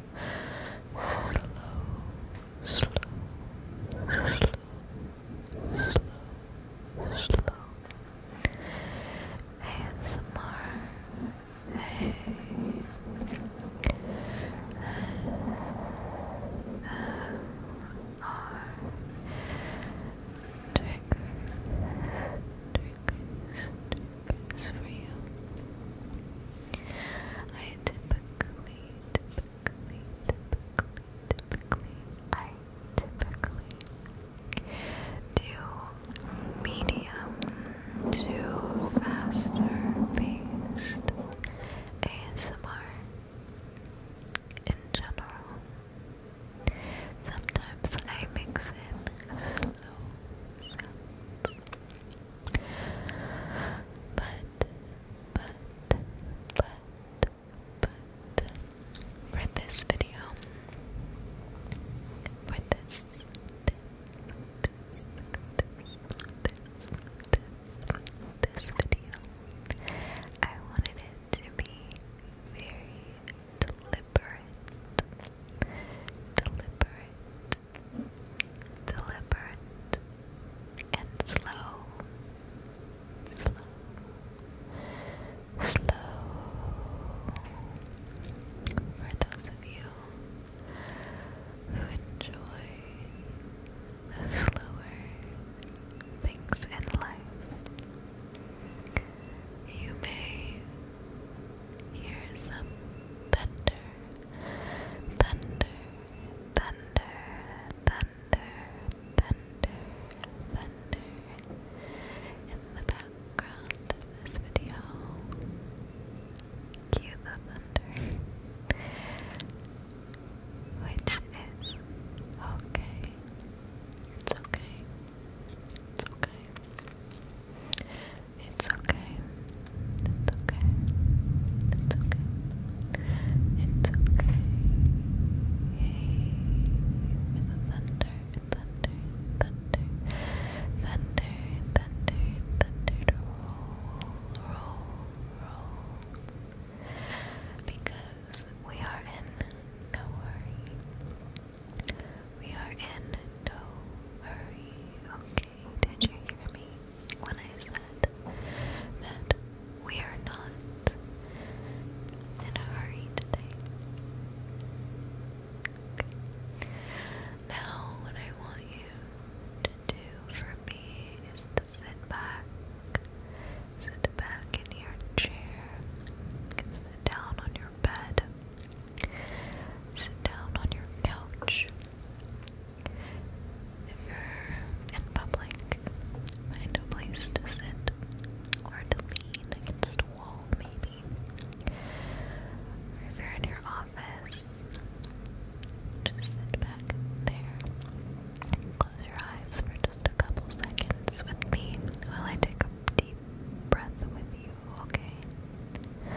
slow, slow, slow, slow, slow. ASMR. ASMR. Triggers, triggers, request for you. I typically, typically, typically, typically, I typically do medium to faster paced ASMR in general. Sometimes I mix in slow sounds but, but, but, but, for this video, for this, this, this, this, this, this video, I wanted it to be very deliberate, deliberate, deliberate, and slow, slow, slow. For those of you who enjoy the slower things in life, you may Here's some thunder, thunder, thunder, thunder, thunder, thunder in the background of this video. Cue the thunder, which is okay. It's okay. It's okay. It's okay. It's okay. It's okay. It's okay. Hey, thunder, thunder, thunder, thunder, thunder, thunder roll, roll, roll. Because we are in no worry. We are in no hurry, okay? Did you hear me when I said that we are not in a hurry today? Now, what I want you to do for me is to sit back, sit back in your chair, sit down on your bed. Sit down on your couch. If you're in public, find a place to sit or lean against a wall, maybe. if you're in your office, just sit back there. Close your eyes for just a couple seconds with me while I take a deep breath with you okay? Okay.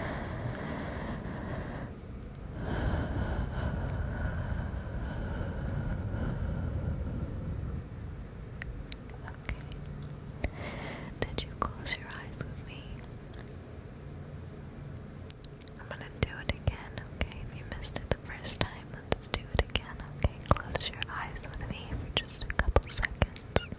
Did you close your eyes with me? I'm gonna do it again, okay? If you missed it the first time, let's do it again, okay? Close your eyes with me for just a couple seconds.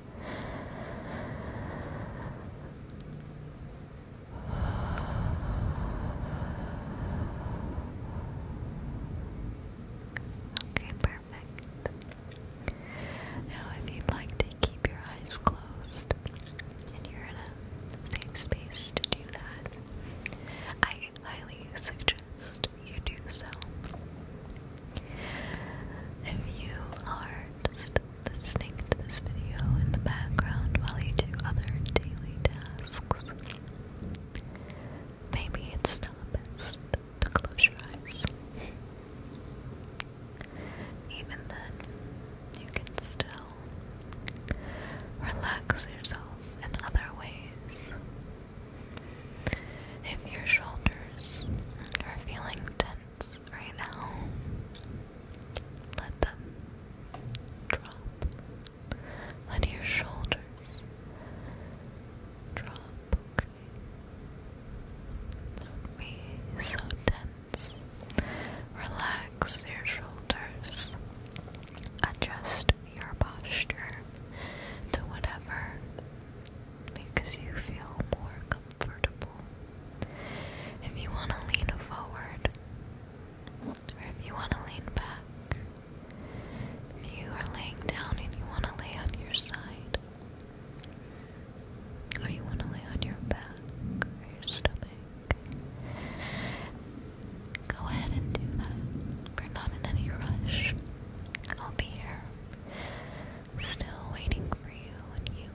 Okay, perfect. Now, if you'd like to keep your eyes closed and you're in a safe space to do that, I highly suggest you do so. If you are just listening to this video in the background while you do other daily tasks. Maybe it's not best to close your eyes. Even then, you can still relax yourself in other ways. If your shoulders are feeling tense, right now. Let them drop. Let your shoulders drop. Don't be so tense. Relax your shoulders. Adjust your posture to whatever makes you feel more comfortable comfortable. If you want to lean forward, or if you want to lean back, if you are laying down and you want to lay on your side, or you want to lay on your back or your stomach, go ahead and do that. We're not in any rush. I'll be here. Still waiting for you when you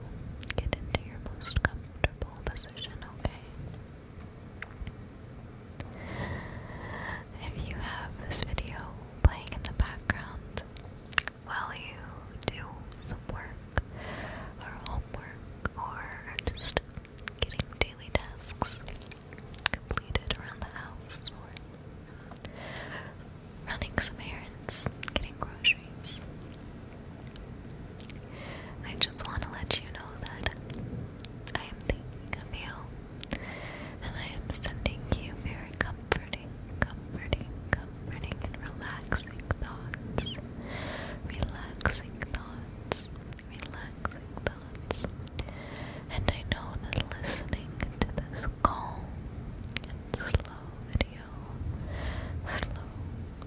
get into your most comfortable position, okay? If you have this video playing in the background while you do some work or homework or just getting daily tasks completed around the house or running some errands, getting groceries, I just want to let you know that I am thinking of you and I am sending you very comforting, comforting, comforting, and relaxing thoughts. Relaxing thoughts, relaxing thoughts. And I know that listening to this calm and slow video. Slow,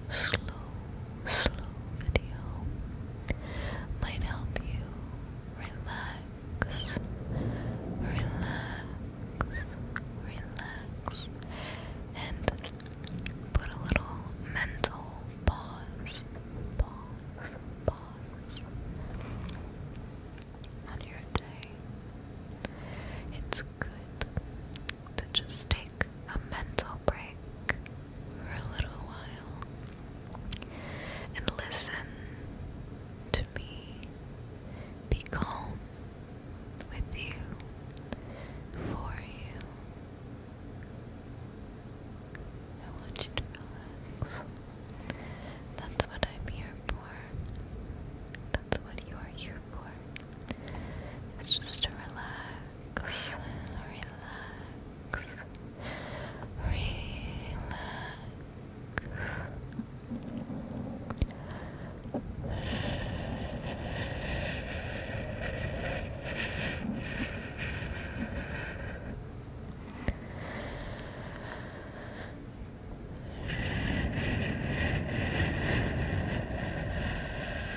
slow, slow video might help you relax, relax, relax, and put a little mental pause, pause, pause on your day. It's good to just take a mental break for a little while and listen to me be calm with you, for you. I want you to relax. That's what I'm here for. That's what you are here for. It's just to relax, relax, relax.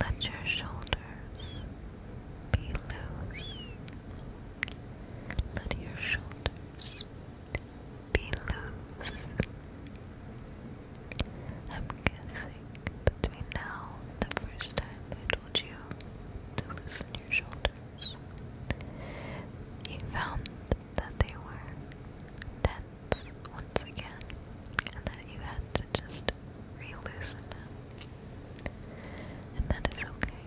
Let your shoulders be loose. Let your shoulders be loose. I'm guessing between now and the first time I told you to loosen your shoulders, you found that they were tense once, again, and that you had to just re them. And that is okay.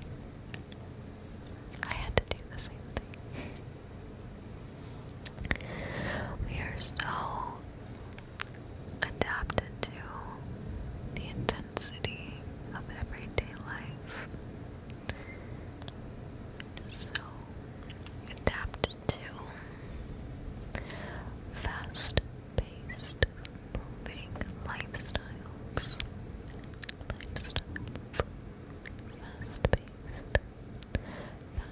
I had to do the same thing. we are so adapted to the intensity of everyday life. So adapt to fast paced moving lifestyles. Lifestyles. Fast paced.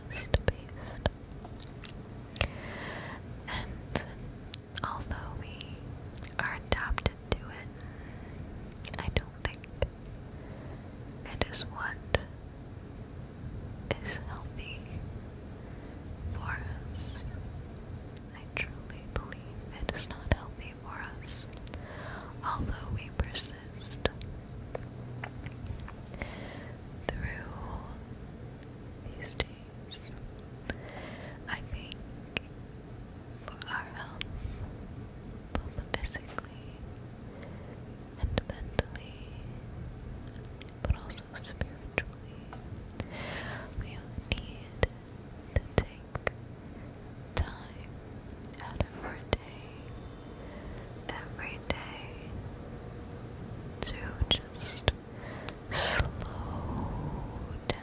Fast paced. And although we are adapted to it, I don't think it is what is healthy for us. I truly believe it is not healthy for us, although we persist. Through these days, I think for our health, both physically and mentally, but also spiritually, we need to take time out of our day, every day, to just slow down,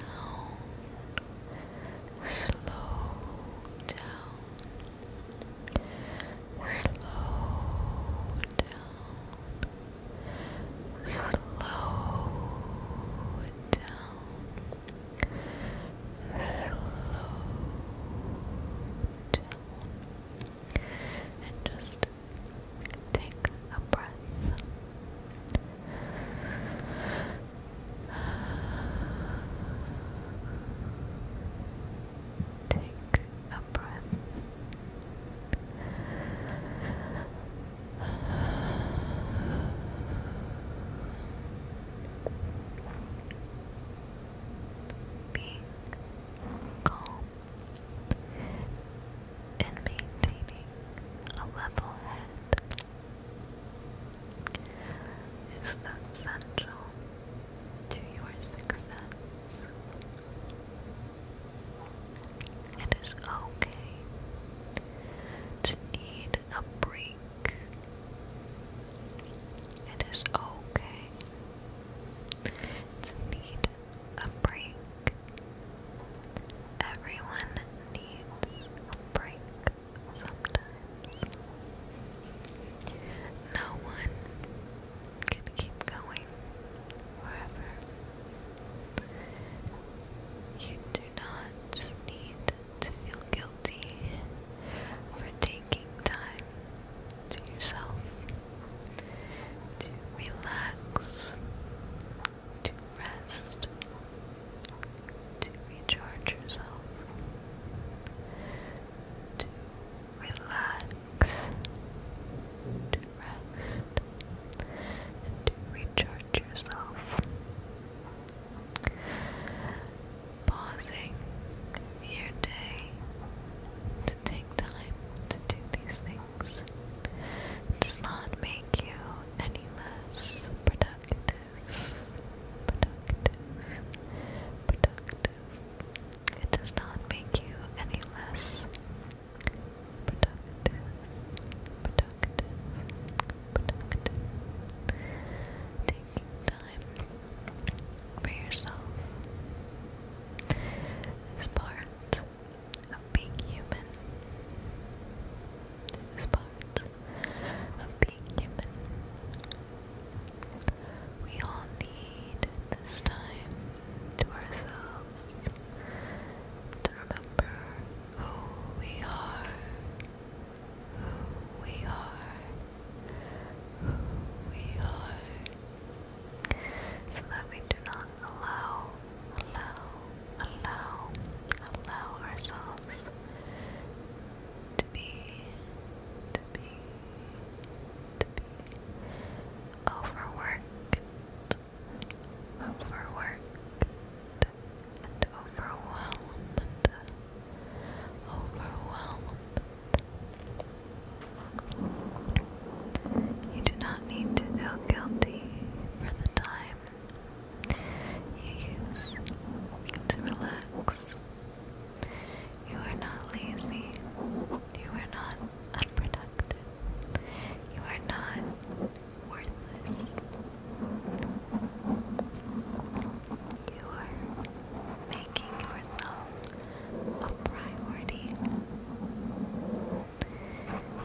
slow down. Slow down. Slow down. Slow down. And just take a breath. Take a breath. Being calm and maintaining a level head is essential to your success. It is okay to need a break. It is okay to need a break. Everyone needs a break sometimes. No one can keep going wherever. You do not need to feel guilty for taking time to yourself to relax, to rest, to recharge yourself, to relax, to rest, and to recharge yourself. Pausing your day to take time to do these things does not make you any less productive, productive, productive. It does not make you any less productive, Taking time for yourself is part of being human. It is part of being human. We all need this time to ourselves to remember who we are, who we are, who we are, so that we do not allow, allow, allow, allow ourselves to be overworked, overworked and overwhelmed, overwhelmed. You do not need to feel guilty for the time you use to relax. You are not lazy. You are not unproductive. You are not worthless. You are making yourself a priority.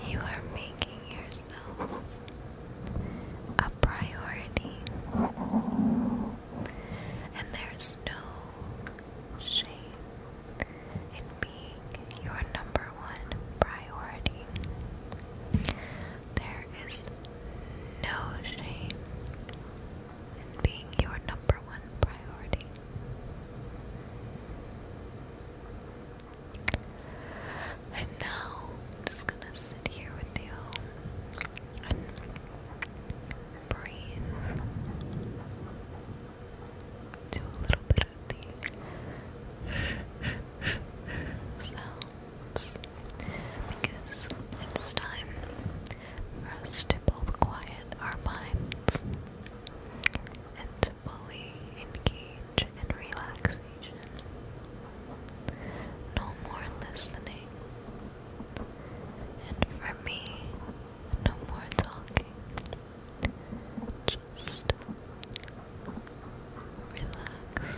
You are making yourself a priority. And there's no shame in being your number one priority. There is no shame in being your number one priority. And now I'm just gonna sit here with you breathe. Do a little bit of the sounds because it's time for us to both quiet our minds and to fully engage in relaxation. No more listening. And for me, no more talking. Just relax.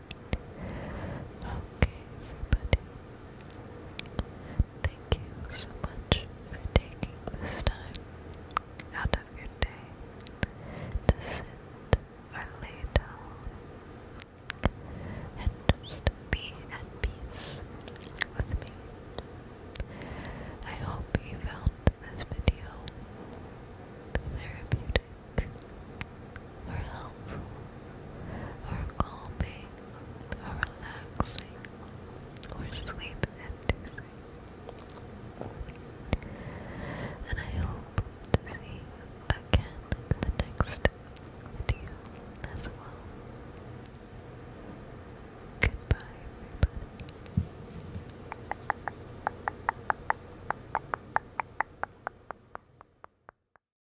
Okay, everybody. Thank you so much for taking this time out of your day to sit or lay down and just be at peace with me. I hope you found this video therapeutic or helpful, or calming, or relaxing, or sleep inducing. And I hope to see you again in the next video as well. Goodbye,